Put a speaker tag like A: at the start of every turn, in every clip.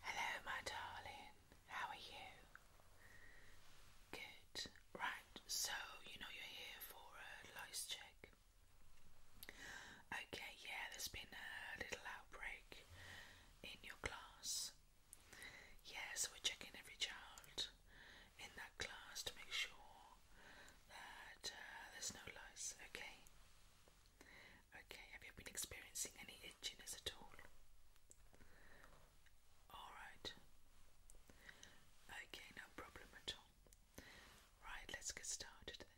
A: Hello, my darling. How are you? Good. Right, so you know you're here for a lice check. Okay, yeah, there's been a little outbreak in your class. Yeah, so we're checking every child in that class to make sure that uh, there's no lies. okay? Okay, have you been experiencing any itchiness at all? Alright. Okay, no problem at all. Right, let's get started then.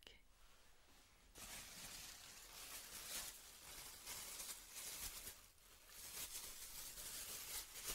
A: Okay,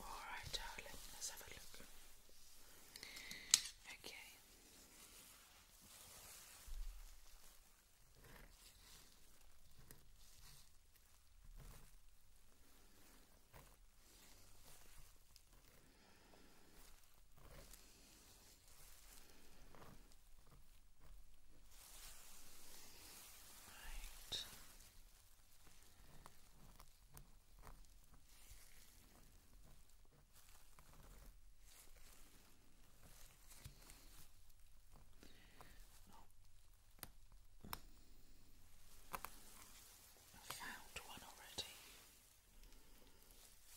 A: Alright, darling, let's have a look. Okay. Right. Oh. I found one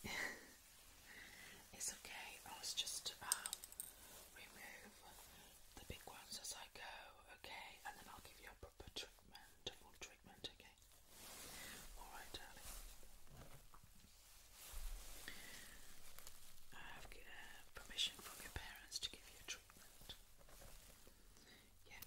A: already. It's okay, I was just um, remove the big ones as I go, okay? And then I'll give you a proper treatment, a treatment, okay? Alright, darling. I have uh, permission from your parents to give you a treatment. Yeah.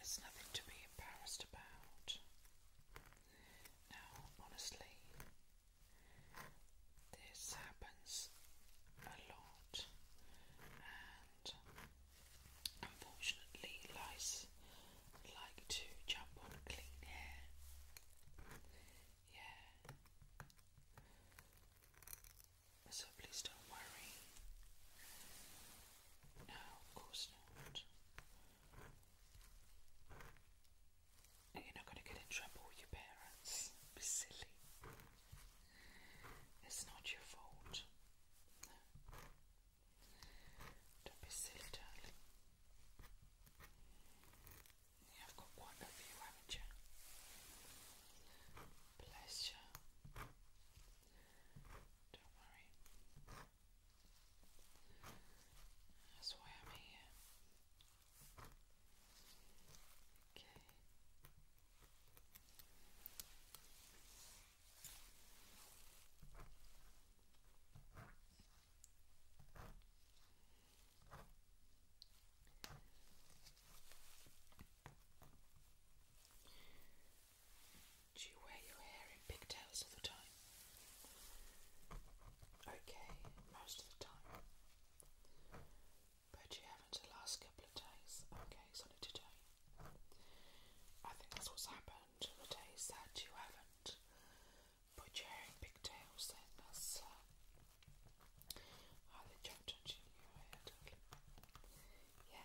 A: It's nothing to be embarrassed about. Now, honestly, this happens a lot, and unfortunately, lice like to jump on clean hair. Yeah. So please don't worry. No, of course not. You're not going to get in trouble with your parents. Be silly. It's not your fault. Don't be silly, darling. You have got one of you, haven't you? Bless you. Don't worry. That's why I'm here. Okay. Do you wear your hair in pigtails all the time? Okay, most of the time. But you haven't the last couple of days. Okay, so today. I think that's what's happened. The days you haven't put your hair in pigtails, then that's uh, how they your head. Yeah.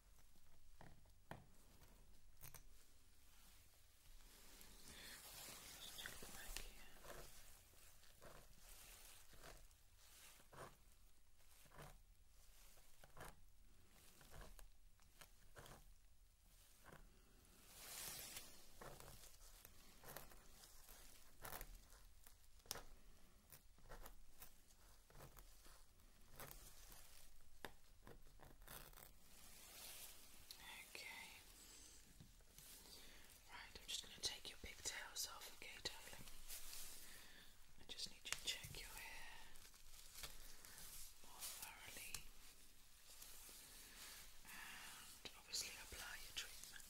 A: Let's check back here. Okay. Okay. Right, I'm just going to take your pigtails off, okay, I just need to check your hair more thoroughly and obviously apply your treatment.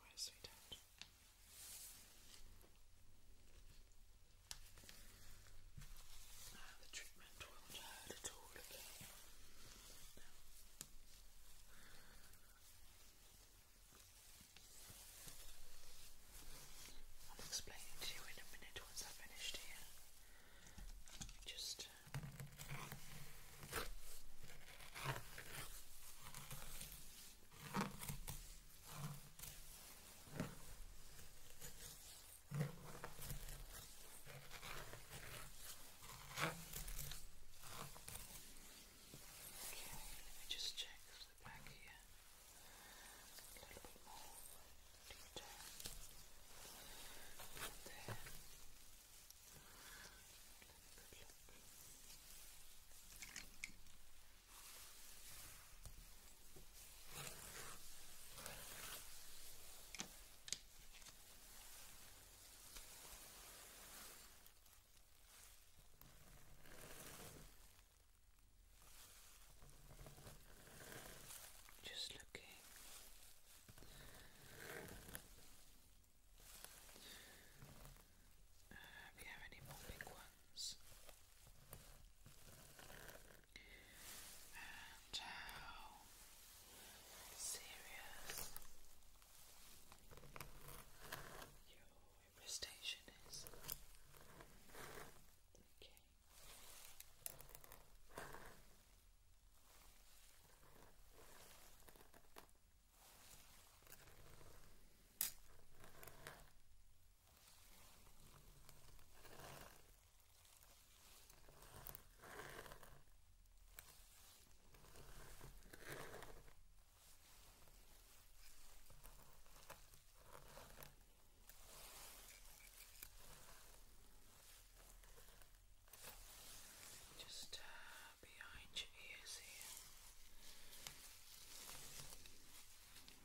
A: Alright, sweetheart. Okay. I'll explain it to you in a minute once I've finished here. Just uh, Okay, let me just check the back here. A little bit more detail. There. Good look. Just looking uh, you have any more big ones? And how serious your infestation is. Okay. Just uh, behind your ears here.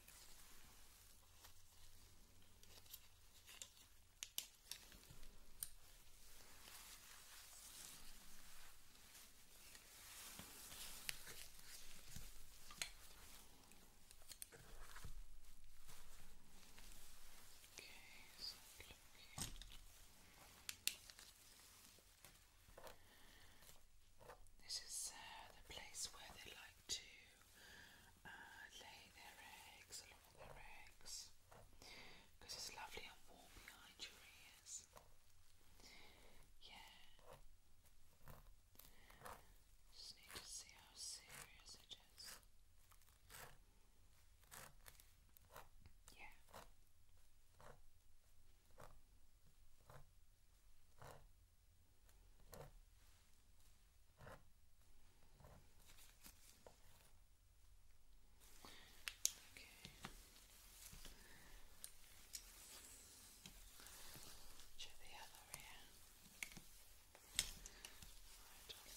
A: so This is uh, the place where they lie to uh, lay their eggs, a their eggs, because it's lovely and warm behind your ears. Yeah. Just need to see how serious it is. Yeah. Check the other ear. Right. Okay.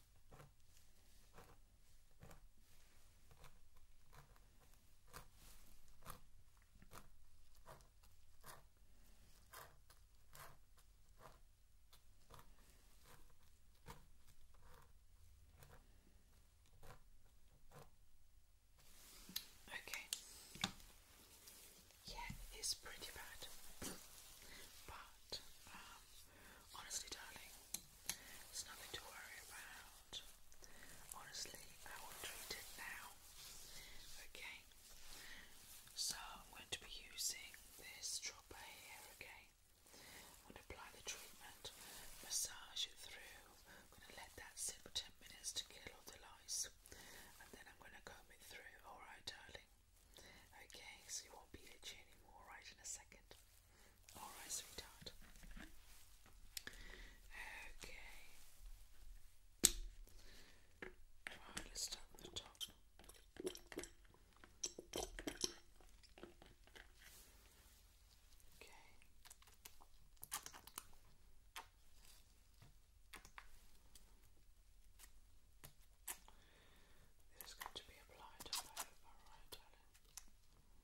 A: Okay. Yeah, it's pretty bad. but um, honestly darling, there's nothing to worry about. Honestly, I will treat it now. Okay. So I'm going to be using this dropper here, again. I'm going to apply the treatment, massage it through. I'm going to let that sit for 10 minutes to kill all the lice. And then I'm going to comb it through, alright darling? Okay, so you won't be itchy anymore, alright, in a second. Alright, sweetheart. Okay. Right, let's start the top. Okay. This going to be applied over, right, darling?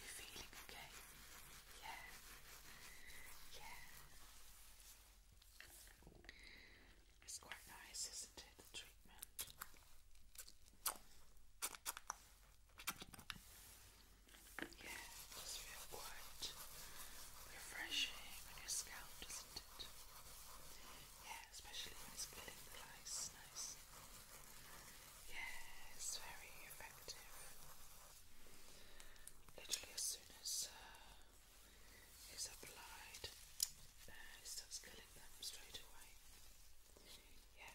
A: You feeling okay? Yeah. Yeah. It's quite nice, isn't it? The treatment. Yeah, it does quite refreshing on your scalp, doesn't it? Yeah, especially when killing the lice, nice. Yeah, it's very effective. Literally, as soon as uh, it's applied, uh, it starts killing them straight away. Yeah,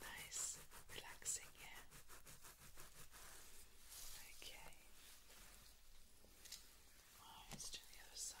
A: nice, relaxing here. Okay. Oh, to the other side.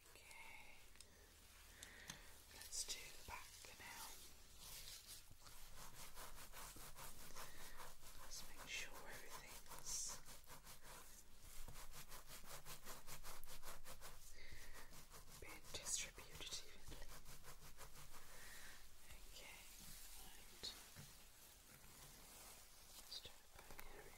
A: Okay. Let's do the back now. Let's make sure everything's distributed evenly. Okay, Let's do it by area.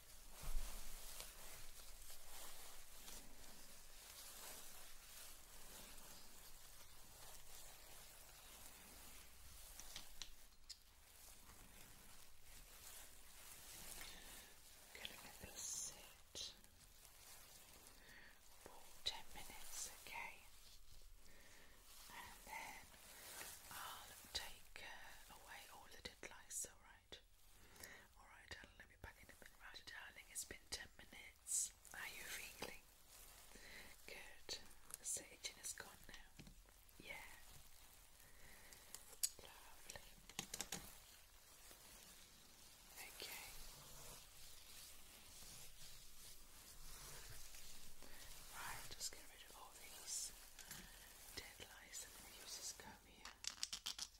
A: I'm gonna let this sit for ten minutes, okay? And then I'll take uh, away all the dead lice, alright? Alright, back in a minute. darling, it's been ten minutes. Are you feeling good? The saging is gone now. Yeah. Lovely. Okay. Right, just get rid of all these dead lice and we use this comb here.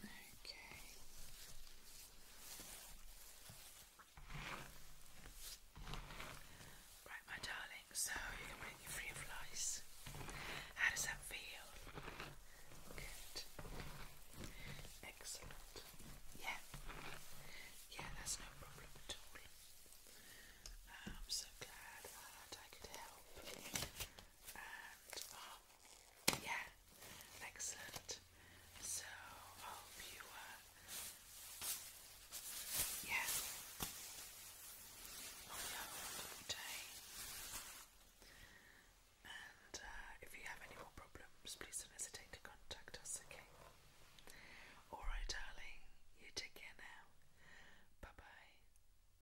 A: Okay. Right, my darling, so you're free of lice. How does that feel? Good. Excellent. Yeah. Yeah, that's no problem at all. I'm so glad I could help and oh, yeah, excellent. So hope you uh, yeah, a wonderful day. And uh, if you have any more problems, please don't hesitate to contact us. Okay. All right, darling. You take care now. Bye bye.